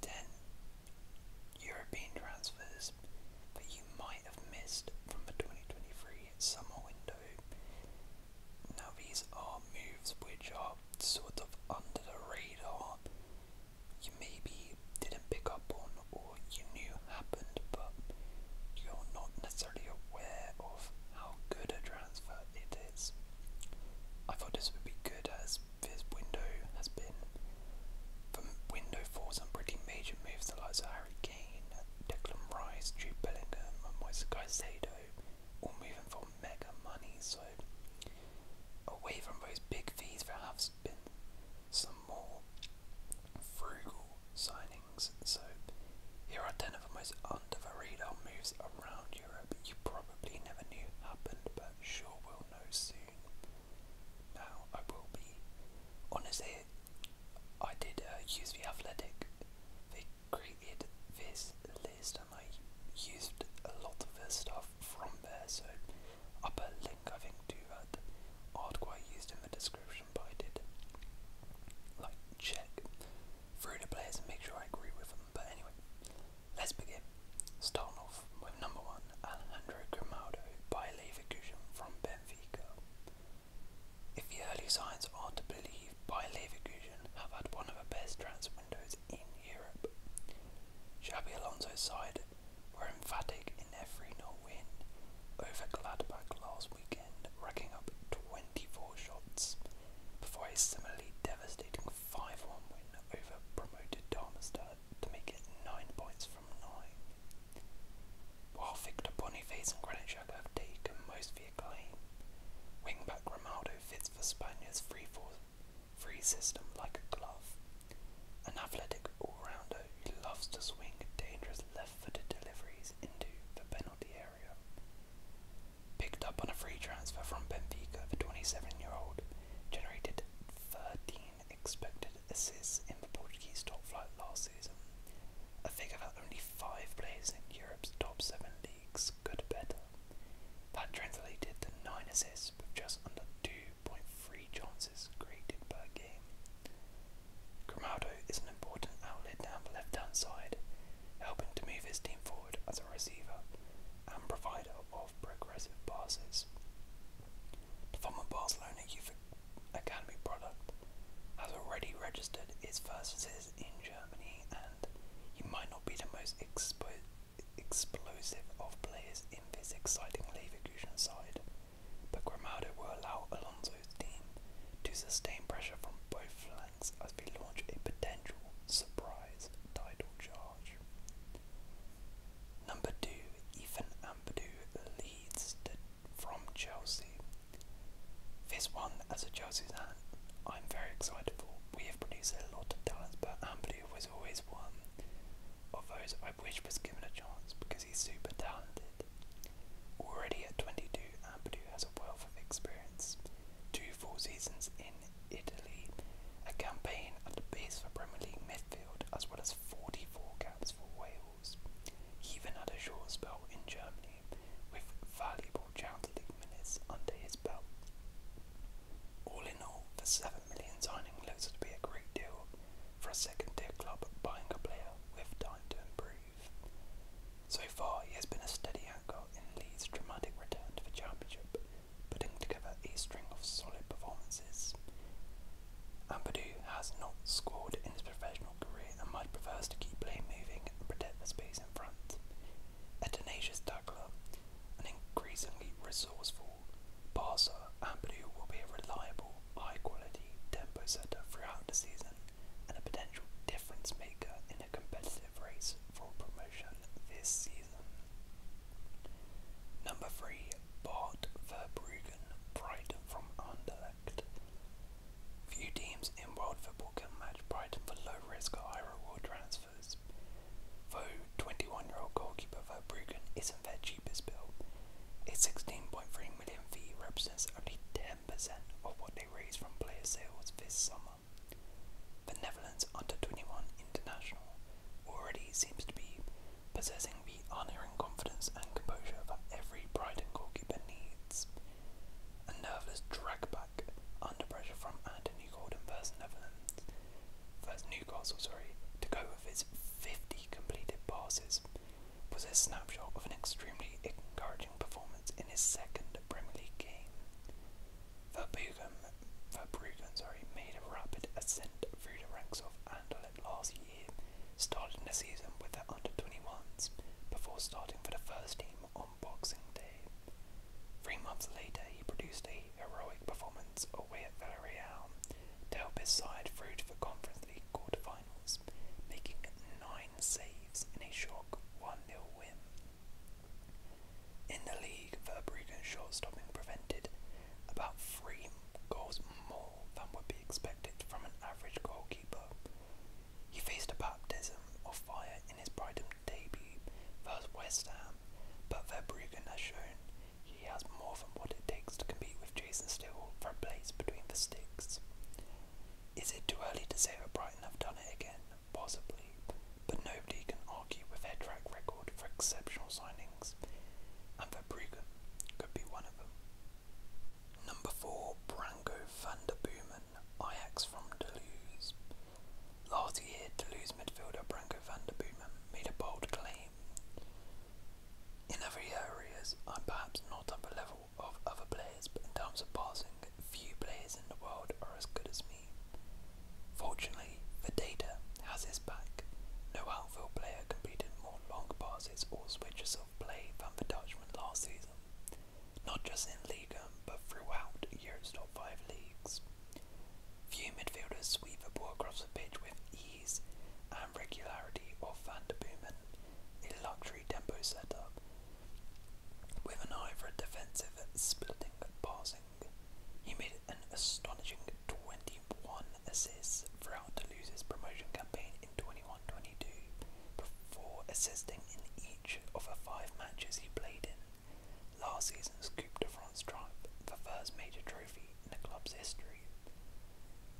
10 European transfers that you might have missed from the 2023 summer window. Now, these are moves which are sort of under the radar. You maybe didn't pick up on, or you knew happened, but you're not necessarily aware of how good a transfer it is. I thought this would be good as this window has been from window for some pretty major moves the likes of Harry Kane, Declan Rice, Jude Bellingham and Moise Caicedo all moving for mega money so away from those big fees there have been some more frugal signings so here are 10 of the most under the moves around Europe you probably probably never knew happened, but sure will know soon. Now I will be. Honestly, I did uh, use the athletic. They created this list, and I used a lot of their stuff from there. So up link, I think, to that article I used in the description. But I did like check through the players and make sure I agree with them. But anyway, Let's begin. Starting off with number one, Alejandro Grimaldo by Leverkusen from Benfica. If the early signs are to believe, by Leverkusen have had one of the best transfer windows in Europe. Xabi Alonso's side were emphatic in their 3 win over Gladbach last weekend, racking up 24 shots before a similarly devastating 5 1 win over promoted Darmstadt to make it 9 points from 9. While Victor Boniface and Granitchak have taken most of the acclaim, wingback Romaldo fits for Spaniards' free for free system like a glove. An athletic all rounder who loves to swing dangerous left footed deliveries into the penalty area. Picked up on a free transfer from Benfica, the 27 year old generated 13 expected assists in the Portuguese top flight last season, a figure that only five players in Europe's top seven leagues could better. That translated to nine assists with just under 2.3 chances created per game. Grimaldo is an important outlet down the left hand side, helping to move his team forward as a receiver and provider of of progressive passes. The former Barcelona Youth Academy product has already registered its first visitors in Germany, and he might not be the most explosive of players in this exciting Leverkusen side, but Granada will allow Alonso's team to sustain pressure from both flanks as we launch a potential surprise title charge charge. Number two, Ethan Ampadu leads from Chelsea. This one, as a Chelsea fan, I'm very excited for. We have produced a lot of talents, but Ampadu was always one of those I wish was given a chance because he's super talented. Already at 22, Ampadu has a wealth of experience. Two full seasons in Italy, a campaign at the base for Premier League midfield, as well as 44 caps for Wales. He even had a short spell in Germany, with valuable Champions minutes under his belt. All in all, the 7 million signing looks to be a great deal for a second-tier club buying a player with time to improve. So far, he has been a steady anchor in Leeds' dramatic return to the Championship, putting together a string of solid performances. Ampadu has not scored in his professional career and much prefers to keep play moving and protect the space in front. A tenacious tackler, an increasingly resourceful passer, Ampadu will be a reliable, high quality tempo setter throughout the season and a potential difference maker in a competitive competitive for promotion this season. Number 3. Bart Verbruggen, Brighton from Anderlecht. Few teams in world football can match Brighton for low risk high reward transfers. Though 21 year old goalkeeper Verbruggen isn't their cheapest bill, a 16.3 million fee represents only 10% of what they raised from player sales this summer. The Netherlands under 21 international already seems to be possessing the unerring confidence and composure that every Brighton goalkeeper needs. A nerveless drag back under pressure from Anthony Gordon versus Netherlands, versus Newcastle, sorry, to go with his 50 completed passes was a snapshot of an extremely encouraging performance in his second Premier League game. Verbruggen, Verbruggen sorry, made a rapid ascent through the ranks of Anderlecht last year, starting the season with the under-21s before starting for the first team on Boxing Day. Three months later, he produced a heroic performance away at Villarreal to help his side through to the Conference League quarter finals, making nine saves in a shock 1 nil win. In the league, Verbruggen's short-stopping prevented about three goals more than would be expected from an average goalkeeper. He faced a baptism of fire in his Brighton debut versus West Ham, but Verbruggen has shown he has more than what it takes to compete with Jason Steele for a place between the sticks. Is it too early to say that Brighton have done it again? possibly, but nobody can argue with her track record for exceptional signings, and Verbruggen could be one of them. Number 4, Branko van der Boomen, Ajax from Toulouse. Last year, Toulouse midfielder Branko van der Boomen made a bold claim. In other areas, I'm perhaps not at the level of other players, but in terms of passing, few players in the world are as good as me. Fortunately, the data has his back. No outfield player completed more long passes or switches of play than the Dutchman last season, not just in Liga but throughout Europe's top five leagues. Few midfielders sweep the ball across the pitch with ease and regularity of Van der Boomen, a luxury tempo setup, with an eye for a defensive splitting and passing he made an astonishing 21 assists for to lose his promotion campaign in twenty-one twenty-two, before assisting in each of the five matches he played in. Last season's Coupe de France triumph, the first major trophy in the club's history.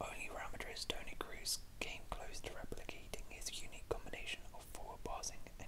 Only Real Madrid's Tony Cruz came close to replicating his unique combination of forward passing and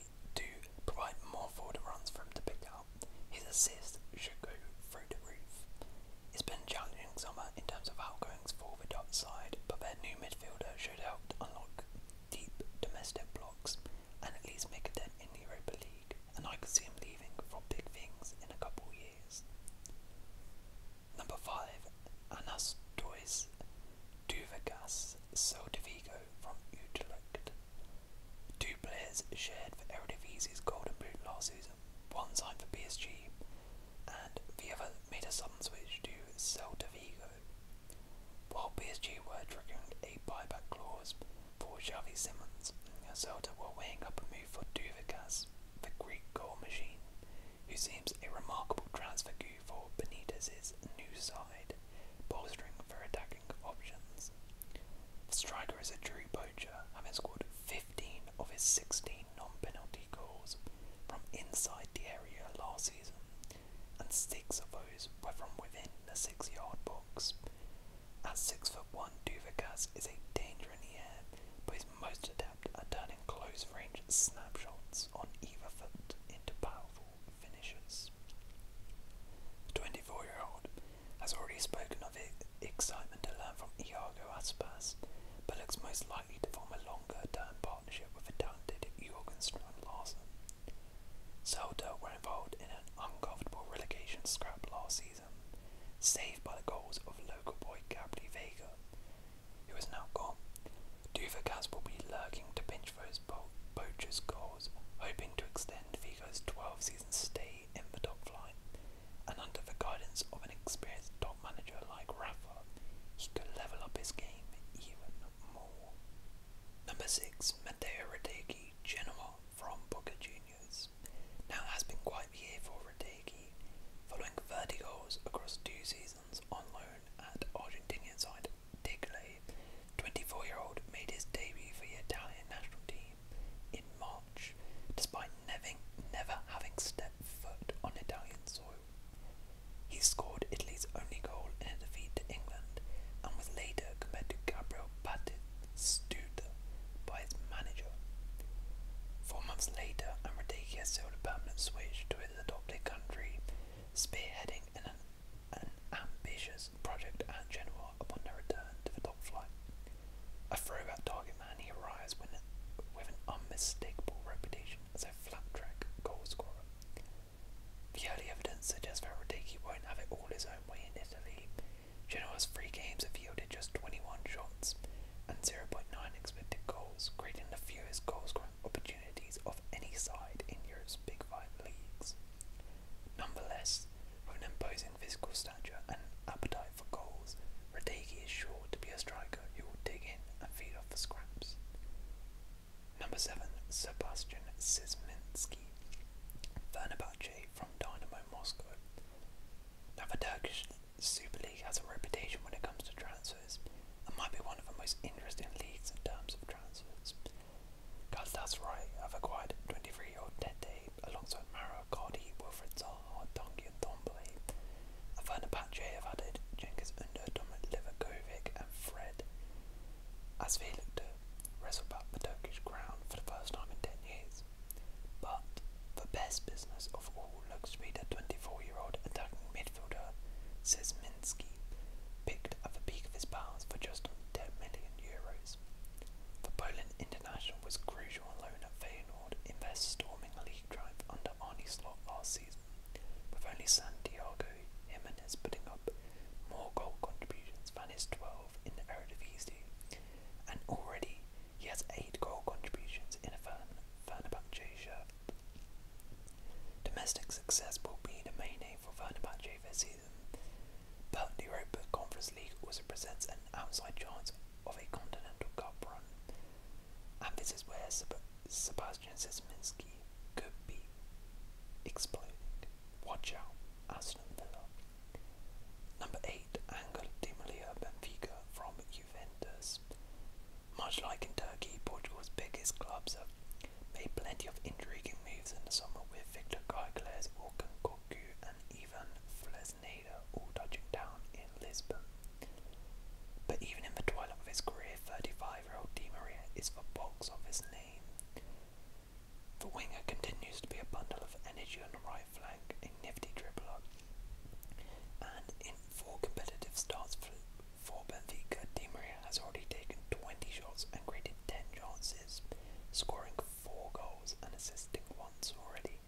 to provide more forward runs for him to pick up. His assist should go through the roof. It's been a challenging summer in terms of outgoings for the Dutch side, but their new midfielder should help unlock deep domestic blocks and at least make a dent in the Europa League, and I can see him leaving for big things in a couple of years. Number 5. Anastois Duvagas Soldivigo from Utrecht. Two players shared for Eredivisie's Golden Boot last season, one signed for PSG and the other made a sudden switch to Celta Vigo. While PSG were triggering a buyback clause for Xavi Simons, Celta were weighing up a move for Duvikas, the Greek goal machine, who seems a remarkable transfer for Benitez's new side, bolstering for attacking options. striker is a true poacher, having scored 15 of his 16 non-penalty goals from inside the area last season, and six of those were from within the six-yard box. At six foot one, Duvacas is a danger in the air, but is most adept at turning close-range snapshots on either foot into powerful finishes. The 24 year old has already spoken of his excitement to learn from Iago Aspas, but looks most likely to form a longer term partnership with the talented Jorgen Strand Larsen. Celta were involved in an uncomfortable relegation scrap last season, saved by the goals of local boy Gabri Vega, who is now gone. Duvakas will be lurking to pinch for his as goals, hoping to extend Vigo's 12 season stay in the top flight, and under the guidance of an experienced top manager like Rafa, he could level up his game even more. Number 6. Mateo Radeki, Genoa from Boca Juniors. Now has been quite the year for Radeki, following 30 goals across two seasons on loan at Argentinian side Digley, 24-year-old, made his debut for the Italian national team in March, despite never, having stepped foot on Italian soil. He scored Italy's only goal in a defeat to England, and was later compared to Gabriel Batistuta by his manager. Four months later, Amradeghi sold a permanent switch to his adopted country, spearheading an an ambitious project and Genoa upon their return to the top flight. A throwback target man, he arrives with an, unmistakable reputation as a flat track goal scorer. The early evidence suggests that Rodiki won't have it all his own way in Italy. Genoa's three games have yielded just 21 shots and 0.9 expected goals, creating the fewest goal scoring opportunities of any side in Europe's Big Five leagues. Nonetheless, with an imposing physical stature and appetite for goals, Radegi is sure to be a striker who will dig in and feed off the scraps. Number 7. Sebastian Szymanski, Fenerbahce from Dynamo Moscow. Now the Turkish Super League has a reputation when it comes to transfers and might be one of the most interesting leagues in terms of transfers. Galatasaray right, have acquired 23-year-old Tete alongside Mara, Cardi, Wilfred Zaha, Dongi and Dombele. And Vernapache have added Jenkins Under, Dominic Livakovic and Fred. As we looked to wrestle back the Turkish crown for the first time in 10 years. But the best business of all looks to be the 24-year-old attacking midfielder, Sismi Zelinski picked at the peak of his powers for just 10 million euros. The Poland international was crucial alone at Feyenoord in their storming league drive under Arnie last season, with only Santiago Jimenez putting up more goal contributions than 12 in the Eredivisie, and already he has 8 goal contributions in a Fenerbahce shirt. Domestic success will be the main aim for Fenerbahce this season, but the Europa Conference League also presents an outside chance of a Continental Cup run, and this is where Sebastian Szymanski could be exploding. Watch out, Aston Villa. Number 8, Angel Di Maria Benfica from Juventus. Much like in Turkey, Portugal's biggest clubs are made plenty of intriguing moves in the summer with Victor Gaiqueles, Orkan Koku and even Flesneda all touching down in Lisbon. But even in the twilight of his career, 35-year-old Di Maria is the box office name. The winger continues to be a bundle of energy on the right flank, a nifty dribbler, and in four competitive starts for for Benfica, Di Maria has already taken 20 shots and created 10 chances, scoring 4 goals and assisting once already.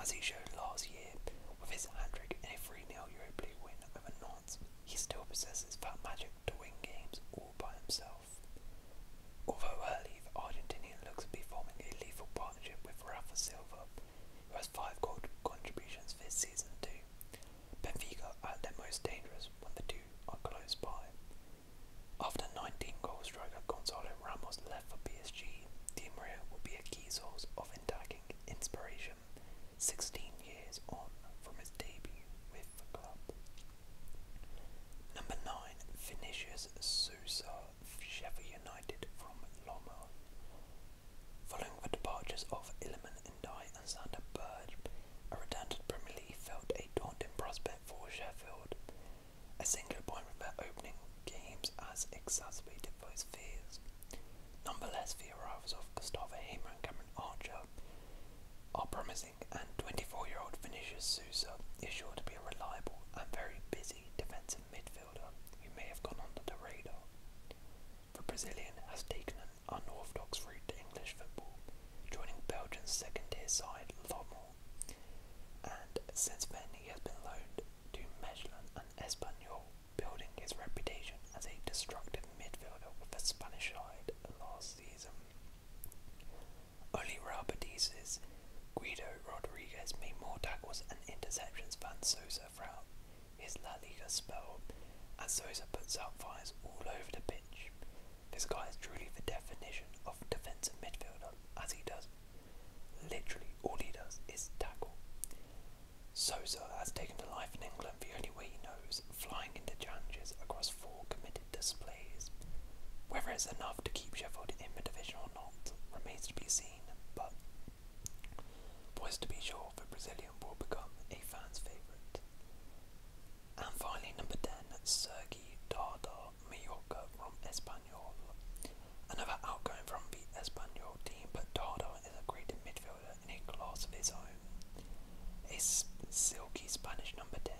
As he showed last year, with his hat-trick in a 3-0 Europa win over Nantes, he still possesses that magic to win games all by himself. Although early, Argentinian looks to be forming a lethal partnership with Rafa Silva, who has 5 goal contributions this season too, Benfica are the most dangerous when the two are close by. After 19-goal Gonzalo Ramos left for PSG, Di Maria will be a key source of attacking inspiration 16 years on from his debut with the club. Number 9. Vinicius Sousa, Sheffield United from Lommel. Following the departures of and Di. Alexander Burge, a redundant Premier League felt a daunting prospect for Sheffield. A single point from opening games has exacerbated those fears. Nonetheless, the arrivals of Gustavo Hamer and Cameron Archer are promising, and 24-year-old Vinicius Sousa is sure to be a reliable and very busy defensive midfielder who may have gone under the radar. The Brazilian has taken unorthodox route to English football, joining Belgium's second-tier side Lommel, and since then he has been loaned to Mechelen and Espanyol, building his reputation as a destructive midfielder with the Spanish side last season. Only Real Guido Rodriguez made more tackles and interceptions than Sosa throughout his La Liga spell, as Sosa puts out fires all over the pitch this guy is truly the definition of defensive midfielder, as he does literally all he does is tackle. Sosa has taken to life in England the only way he knows, flying into challenges across four committed displays. Whether it's enough to keep Sheffield in the division or not remains to be seen, but for us to be sure the Brazilian will become a fan's favourite. And finally, number 10, Sergi Dardar Mallorca from Espanyol. Another outgoing from the Espanyol team, but Dardar is a great midfielder in a class of his own. A silky Spanish number 10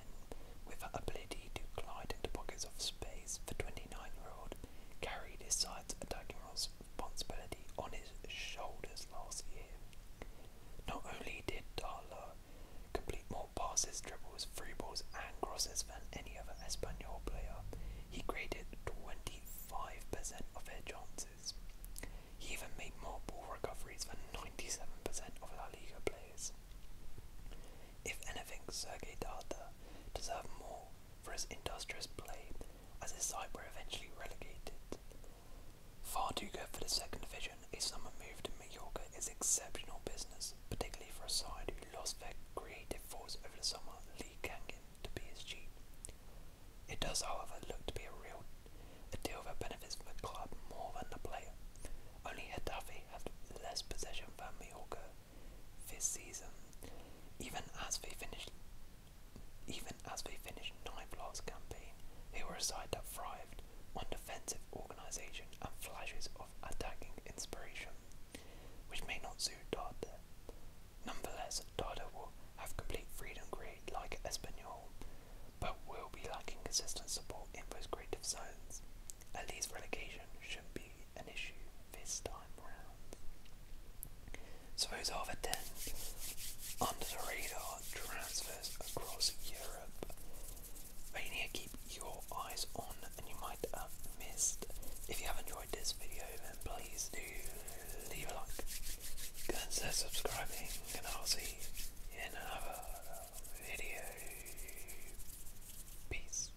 with ability to glide into pockets of space, the 29 year old carried his side's attacking responsibility on his shoulders last year. Not only did Darla complete more passes, dribbles, free balls, and crosses than any other Espanyol player, he created 25% of their chances. He even made more ball recoveries than 97% of La Liga players. If anything, Sergei Darda deserved more for his industrious play as his side were eventually relegated, Far too good for the second division, a summer move to Mallorca is exceptional business, particularly for a side who lost their creative force over the summer, Lee Kangan, to PSG. It does, however, look to be a real a deal that benefits the club more than the player. Only Hadafi have less possession than Mallorca this season, even as they finished even as they finished ninth last campaign, they were a side that thrived on defensive organisation and flashes of attacking inspiration, which may not suit Dada. Nonetheless, Dada will have complete freedom grade like Espanyol, but will be lacking consistent support in those creative zones. At least relegation shouldn't be an issue this time round. So those are the 10 under the radar transfer transfers need to keep your eyes on, and you might have missed. If you have enjoyed this video, then please do leave a like, consider subscribing, and I'll see you in another video. Peace.